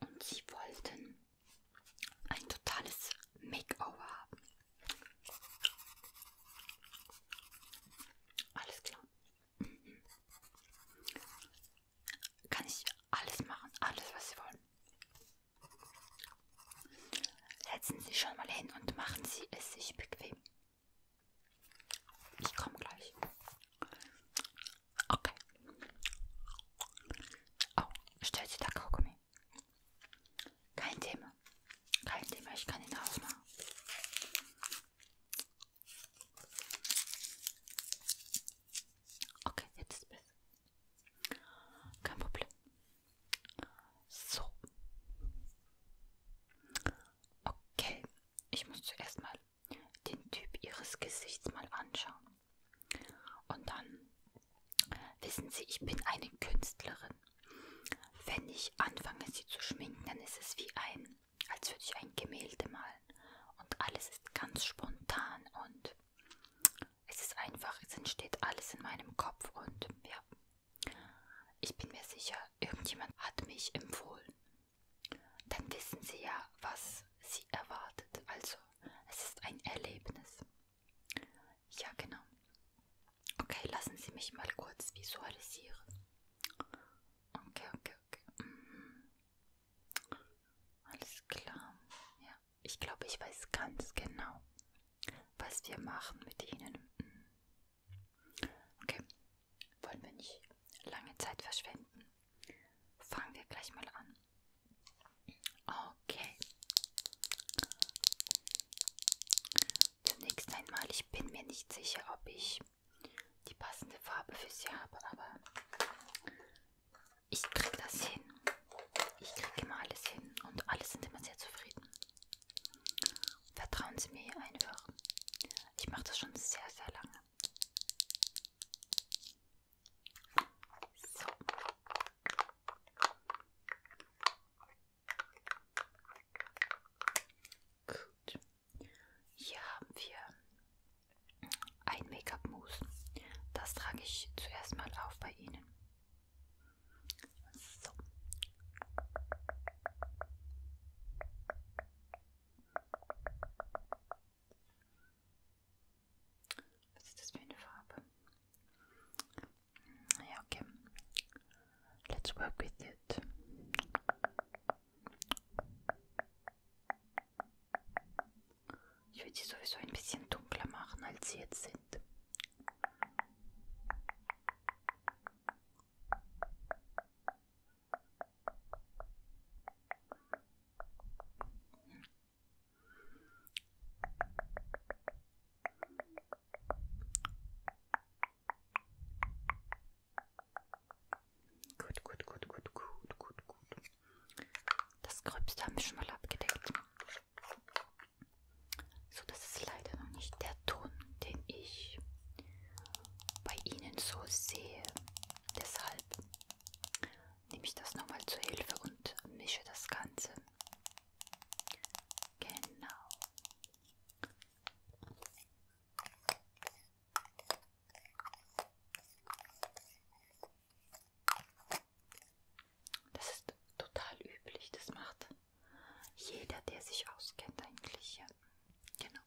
Und sie wollten ein totales Makeover haben. Alles klar. Mhm. Kann ich alles machen, alles was Sie wollen. Setzen Sie schon mal hin und machen Sie es sich bequem. Ich komme gleich. Okej. Okay. O, szczerze tak Kaugummi. Kein Thema. Kein Thema, ich kann ihn aufmachen. Okay, jetzt ist es besser. Kein Problem. So. Okay, ich muss zuerst mal den Typ ihres Gesichts mal anschauen. Und dann wissen Sie, ich bin eine Künstlerin. Wenn ich anfange, sie zu schminken, dann ist es wie ein, als würde ich ein Gemälde malen. Und alles ist ganz spontan und es ist einfach, es entsteht alles in meinem Kopf und ja, ich bin mir sicher, irgendjemand hat mich empfohlen. Dann wissen Sie ja, was Sie erwartet. Also es ist ein Erlebnis. Ja, genau. Okay, lassen Sie mich mal kurz visualisieren. Okay, okay, okay. Mhm. Alles klar. Ja, ich glaube, ich weiß ganz genau, was wir machen mit Ihnen. Mhm. Okay, wollen wir nicht lange Zeit verschwenden fangen wir gleich mal an. Okay. Zunächst einmal, ich bin mir nicht sicher, ob ich die passende Farbe für sie habe, aber ich kriege das hin. Ich kriege immer alles hin und alle sind immer sehr zufrieden. Vertrauen Sie mir einfach. Ich mache das schon sehr, sehr lange. So. Gut. Hier haben wir ein Make-up-Mousse. Das trage ich zuerst mal auf bei Ihnen. So. Was ist das für eine Farbe? Hm, ja, okay. Let's work with it. Ich würde sie sowieso ein bisschen dunkler machen, als sie jetzt sind. Gut, gut, gut, gut, gut, gut, gut. Das Gröbste haben wir schon mal abgedeckt. So, das ist leider noch nicht der Ton, den ich bei Ihnen so sehe. Deshalb nehme ich das nochmal zur Hilfe und mische das Ganze. Genau. Das ist total üblich, das macht jeder, der sich auskennt eigentlich. Ja. Genau.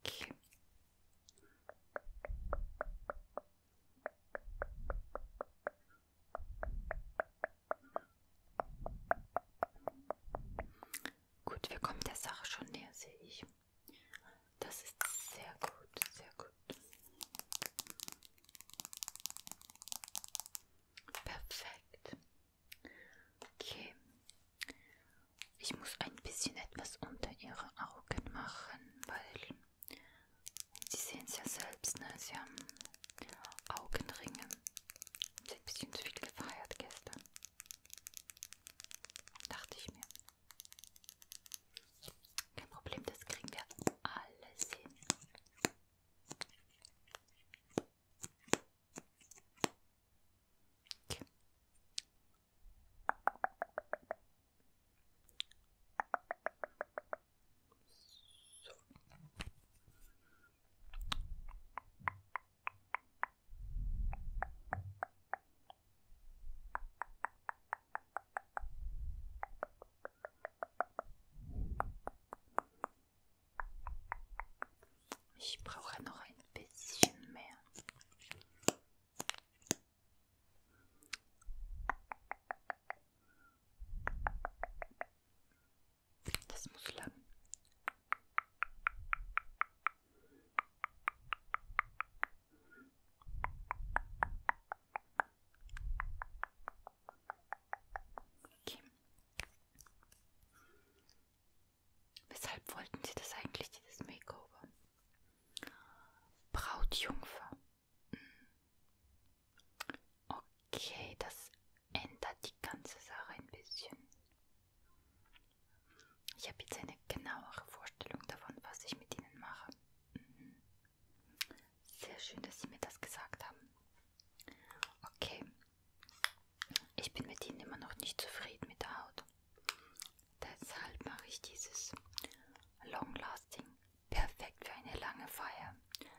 Okay. Gut, wir kommen der Sache schon näher, sehe ich. Das ist sehr gut, sehr gut. Perfekt. Okay. Ich muss ein bisschen etwas unter ihre Augen machen, weil sie sehen es ja selbst, ne? Sie haben Augenringe. Sie ein bisschen zu viel gefeiert gestern. Dachte ich mir. Kein Problem, das kriegen wir alles hin. Okay. So. Ich brauche noch ein bisschen mehr. Das muss lang. Okay. Weshalb wollten Sie das eigentlich, dieses Makeover? Brautjungfer. Hm. Okay, das ändert die ganze Sache ein bisschen. Ich habe jetzt eine genauere Vorstellung davon, was ich mit Ihnen mache. Mhm. Sehr schön, dass Sie mir das gesagt haben. Okay. Ich bin mit Ihnen immer noch nicht zufrieden mit der Haut. Deshalb mache ich dieses Long Lasting. Perfekt für eine lange Feier.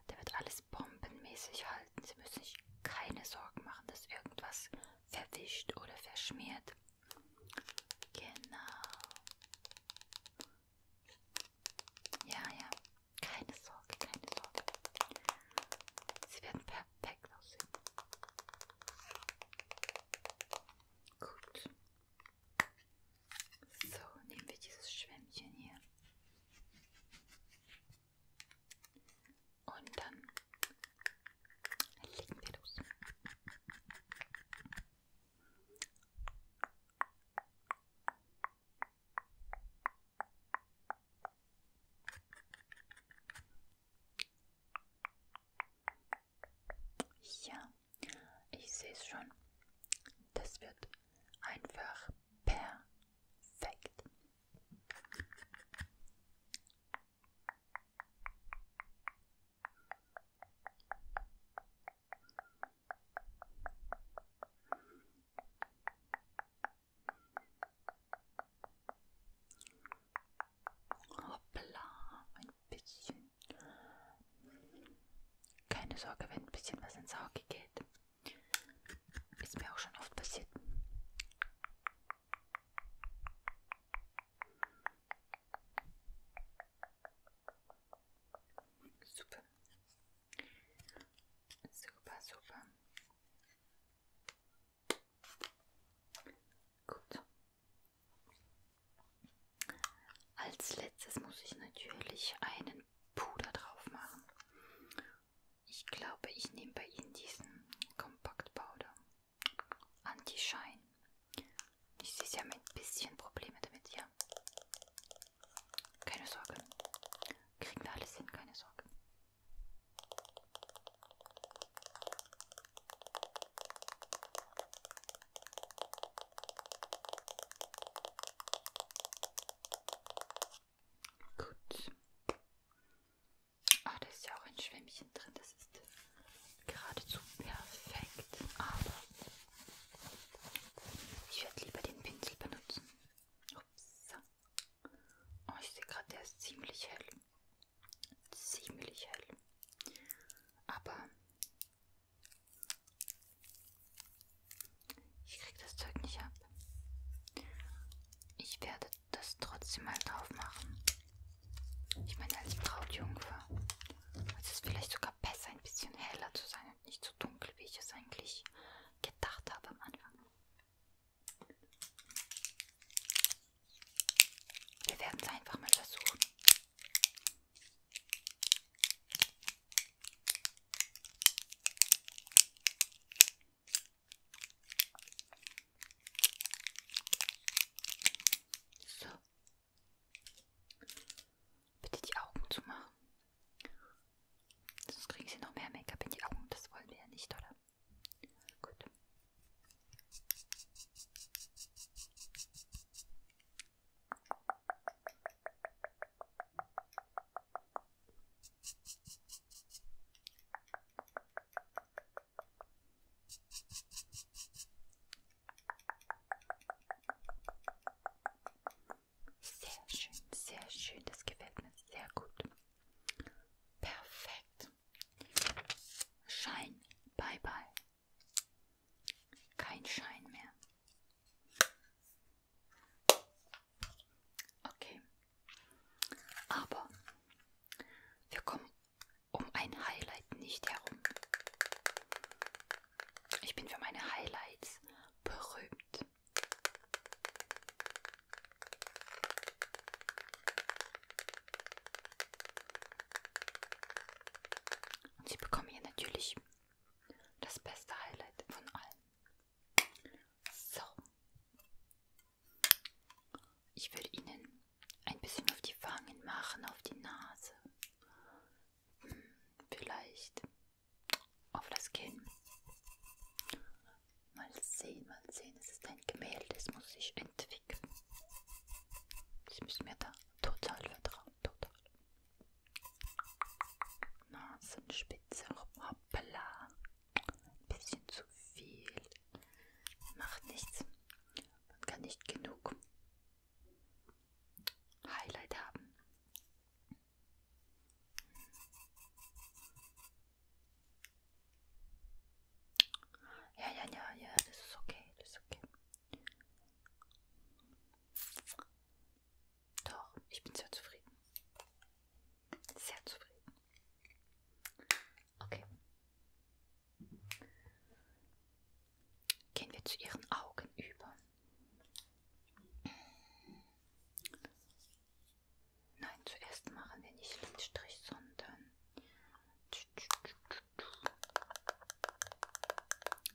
Der wird alles bombenmäßig halten. Sie müssen sich keine Sorgen machen, dass irgendwas verwischt oder verschmiert. Genau. Ja, ja. Keine Sorge, keine Sorge. Sie werden perfekt aussehen. Gut. So, nehmen wir dieses Schwämmchen hier. Und dann legen wir los. Ja, ich sehe es schon. Das wird einfach perfekt. Hoppla, ein bisschen. Keine Sorge, wenn ein bisschen was ins Auge geht. Ist mir auch schon oft passiert. Super. Super, super. Gut. Als letztes muss ich natürlich einen Puder drauf machen. Ich glaube, ich nehme bei Ihnen diesen Compact Powder Anti-Shine ich sehe, sie haben ein bisschen Probleme damit, ja. Keine Sorge. Kriegen wir alles hin, keine Sorge. Gut. Ah, da ist ja auch ein Schwämmchen drin. Das ist geradezu perfekt, aber ich werde lieber den Pinsel benutzen. Ups. Oh, ich sehe gerade, der ist ziemlich hell. Ziemlich hell. Aber ich kriege das Zeug nicht ab. Ich werde das trotzdem mal drauf machen. Ich meine, als Brautjungfer es ist vielleicht sogar besser, ein bisschen heller zu sein und nicht so dunkel, wie ich es eigentlich gedacht habe am Anfang. Wir werden es einfach mal versuchen. So. Bitte die Augen zu machen. Sonst kriegen sie noch mehr Make-up in die Augen. Das wollen wir ja nicht, oder? Gut. Sehr schön, sehr schön. Das gefällt mir sehr gut. Perfekt. Schein. Bye bye. Kein Schein mehr. Okay. Aber wir kommen um ein Highlight nicht herum. Ich bin für meine Highlights berühmt. Und Sie bekommen hier natürlich das beste Highlight von allen. So. Ich will Ihnen ein bisschen auf die Wangen machen, auf die Nase. Vielleicht auf das Kinn. Mal sehen, mal sehen. Es ist ein Gemälde, das muss sich entwickeln. Ich muss mir da total vertrauen, total. Nasenspitze, hoppala. Ein bisschen zu viel. Macht nichts. Man kann nicht genug Highlight haben. Ja, ja, ja, ja, das ist okay, das ist okay. Doch, ich bin sehr zufrieden. Sehr zufrieden. Okay. Gehen wir zu ihren Augen über. Nein, zuerst machen wir nicht Lidstrich, sondern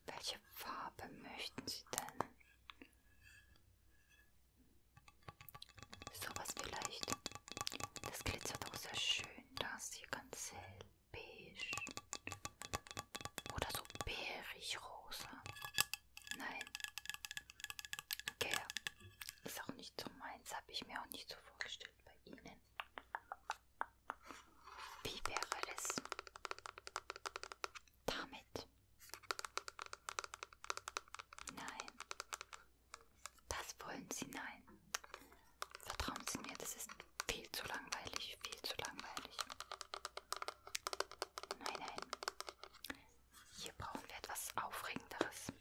welche Farbe möchten Sie denn? Sowas vielleicht. Das glitzert auch sehr schön, da ist hier ganz hell beige oder so bärig rosa. Nein. Okay, ist auch nicht so meins, habe ich mir auch nicht so vorgestellt bei Ihnen. Wie wäre es damit? Nein. Das wollen Sie nein. Vertrauen Sie mir, das ist viel zu langweilig, viel zu langweilig. Nein, nein. Hier brauchen wir etwas Aufregenderes.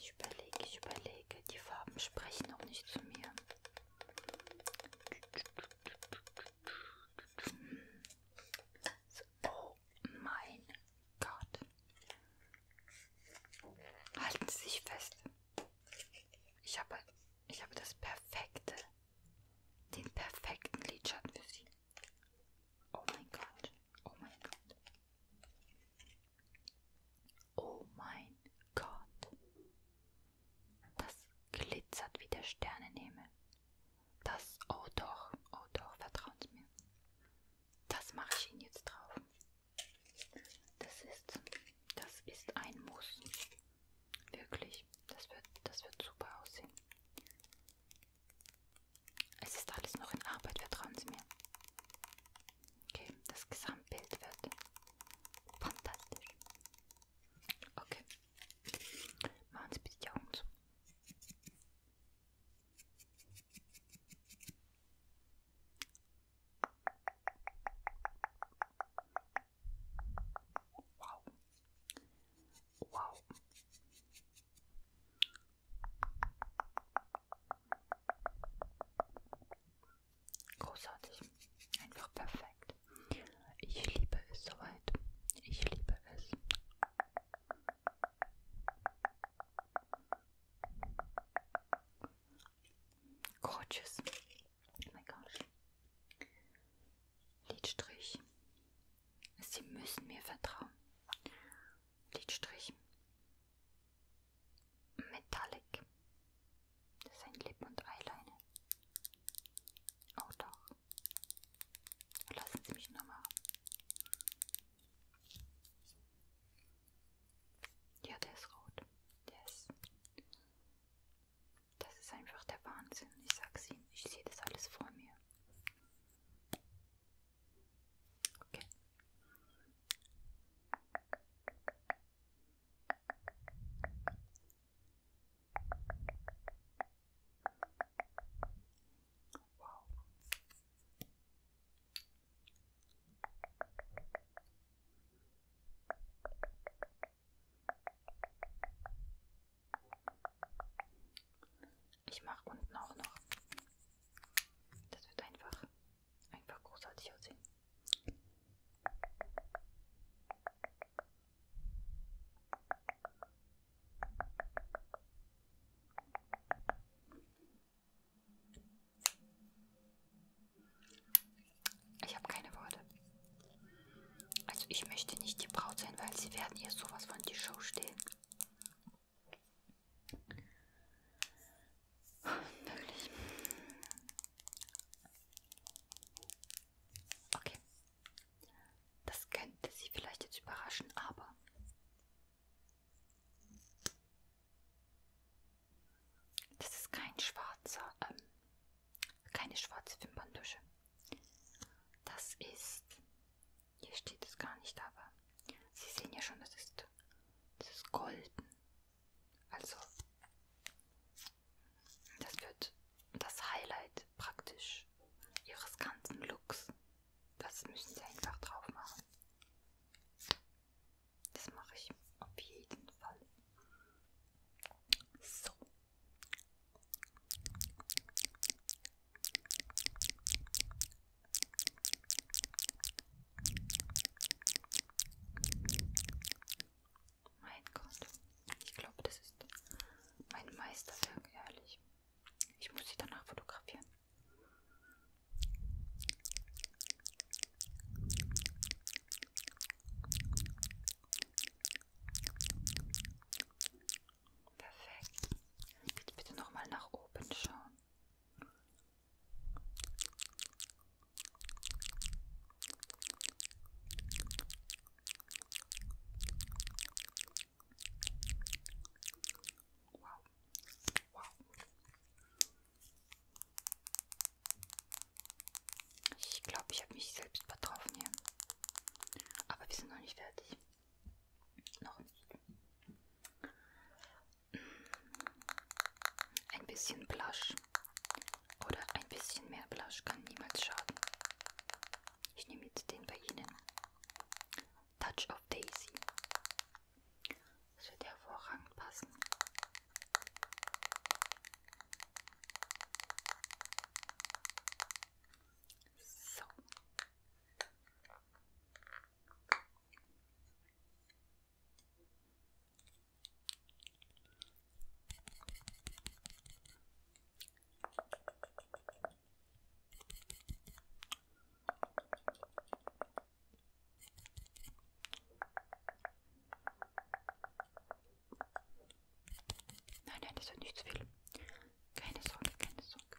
Ich überlege, ich überlege. Die Farben sprechen noch nicht zu mir. So, oh mein Gott. Halten Sie sich fest. Ich habe, ich habe das perfekte, den perfekten Lidschatten für Sie. Oh mein Gott, oh mein Gott. Oh mein Gott. Das glitzert wie der Sternenhimmel. Das, oh doch, oh doch, vertraut mir. Das mache ich Ihnen jetzt drauf. Das ist, das ist ein Muss. Wirklich. Das wird, das wird super aussehen. Es ist alles noch in Arbeit, vertrauen Sie mir. Okay, das Gesamtbild wird fantastisch. Okay. Machen Sie bitte die Augen zu. Wow. Wow. Großartig. Einfach perfekt. Ich liebe es soweit. Ich liebe es. Gorgeous. Oh my gosh. Lidstrich. Sie müssen mir vertrauen. Lidstrich. Metallic. Das ist ein Lip- und Eyeliner. Oh doch. Lassen Sie mich nochmal. Ja, der ist rot. Der ist. Das ist einfach der Wahnsinn. Ich sag's Ihnen. Ich sehe das alles vor mir. Okay. Wow. Ich mache unten auch noch. Das wird einfach, einfach großartig aussehen. Ich habe keine Worte. Also ich möchte nicht die Braut sein, weil sie werden ihr sowas von die Show stehen. Wirklich. Okay. Das könnte sie vielleicht jetzt überraschen, aber das ist kein schwarzer, ähm, keine schwarze Wimperntusche. Das ist, hier steht es gar nicht, aber Sie sehen ja schon, das ist, das ist golden. Also, das wird das Highlight praktisch Ihres ganzen Looks. Das müssen Sie einfach drauf machen. Das mache ich auf jeden Fall. So. Mein Gott, ich glaube, das ist mein Meisterwerk, ehrlich. Ich muss sie danach fotografieren. Perfekt. Bitte, bitte nochmal nach oben schauen. Wow, Wow. Ich glaube, ich habe mich selbst vertroffen hier. Aber wir sind noch nicht fertig. Noch nicht. Mm. Ein bisschen Blush oder ein bisschen mehr Blush kann niemals schaden. Ich nehme jetzt den bei Ihnen. Touch of Daisy. Das wird hervorragend passen. So. Nein, nein, das wird nicht zu viel. Keine Sorge, keine Sorge.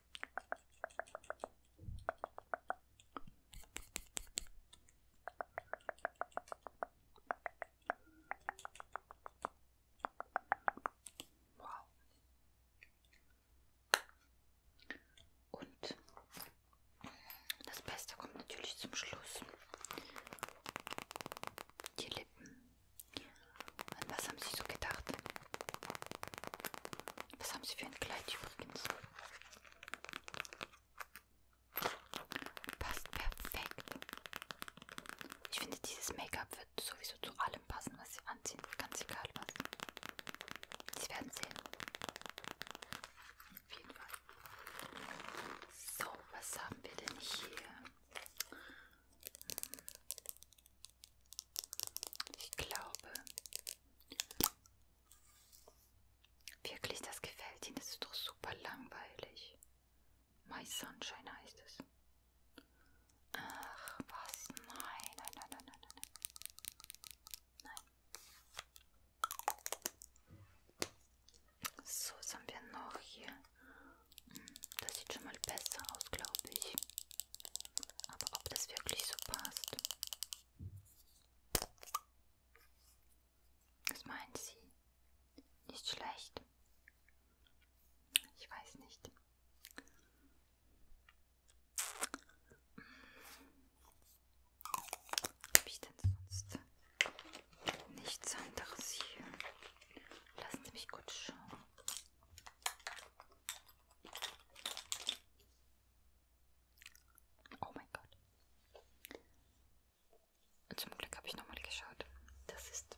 Wow. Und das Beste kommt natürlich zum Schluss. Die Lippen. An was haben Sie so gedacht? Was haben Sie für ein Kleid übrigens? Passt perfekt. Ich finde, dieses Make-up wird sowieso zu allem passen, was Sie anziehen. Ganz egal was. Sie werden sehen. Auf jeden Fall. So, was haben wir denn hier? Ich glaube wirklich, das gefällt Ihnen. Das ist doch super langweilig. My Sunshine heißt es. Ach was, nein, nein, nein, nein, nein, nein. Nein. So, was haben wir noch hier? Hm, das sieht schon mal besser aus, glaube ich. Aber ob das wirklich so passt? Was meint sie? Nicht schlecht. Ich weiß nicht. Habe ich denn sonst nichts anderes hier? Lassen Sie mich kurz schauen. Oh mein Gott. Zum Glück habe ich nochmal geschaut. Das ist.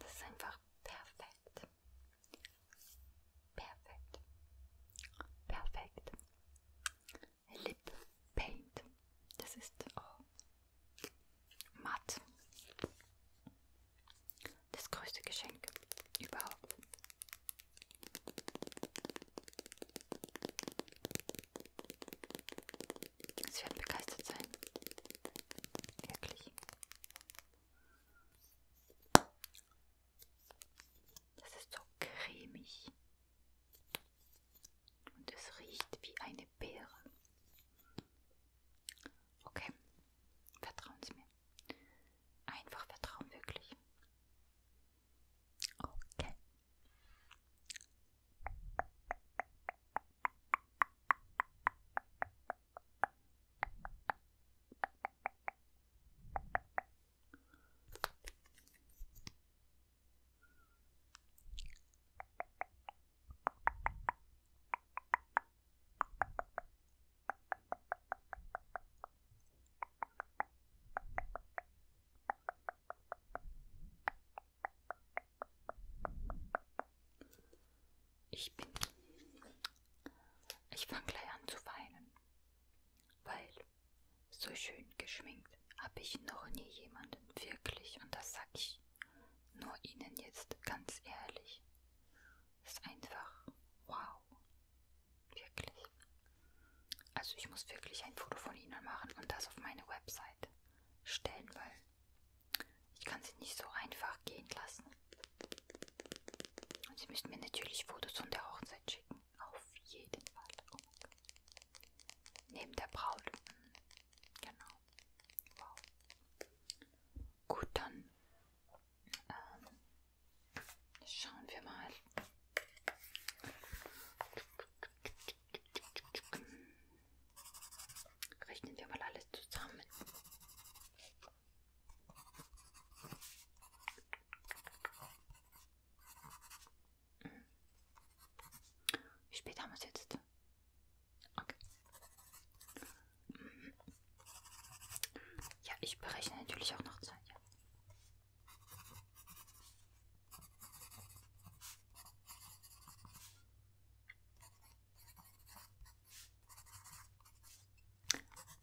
Das ist einfach perfekt. Perfekt. Perfekt. Lip Paint. Das ist oh, matt. Das größte Geschenk überhaupt. Sie werden begeistert sein. Wirklich. Das ist so cremig. Und es riecht wie eine Beere. Okay, vertrauen Sie mir. Einfach vertrauen, wirklich. Okay. Ich bin. Ich fange gleich an zu weinen. Weil so schön geschminkt habe ich noch nie jemanden wirklich und das sag ich nur Ihnen jetzt ganz ehrlich. Ist einfach wow. Wirklich. Also ich muss wirklich ein Foto von Ihnen machen und das auf meine Website stellen, weil ich kann sie nicht so einfach gehen lassen. Und Sie müssen mir natürlich Fotos von der Hochzeit schicken schicken. Auf jeden Fall. Oh mein Gott. Neben der Braut. Mhm. Genau. Wow. Gut, dann ähm, schauen wir mal. Mhm. Rechnen wir mal alles zusammen. Wie spät haben wir es jetzt? Okay. Ja, ich berechne natürlich auch noch Zeit. Ja.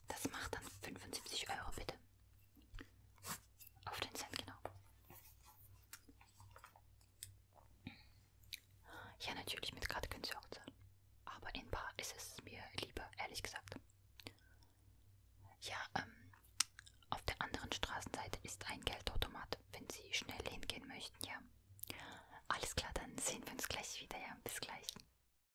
Das macht dann 75 Euro bitte. Auf den Cent genau. Ja, natürlich, mit Karte können Sie auch zahlen. Aber in Bar ist es mir lieber, ehrlich gesagt. Ja, ähm, auf der anderen Straßenseite ist ein Geldautomat, wenn Sie schnell hingehen möchten, ja. Alles klar, dann sehen wir uns gleich wieder, ja. Bis gleich.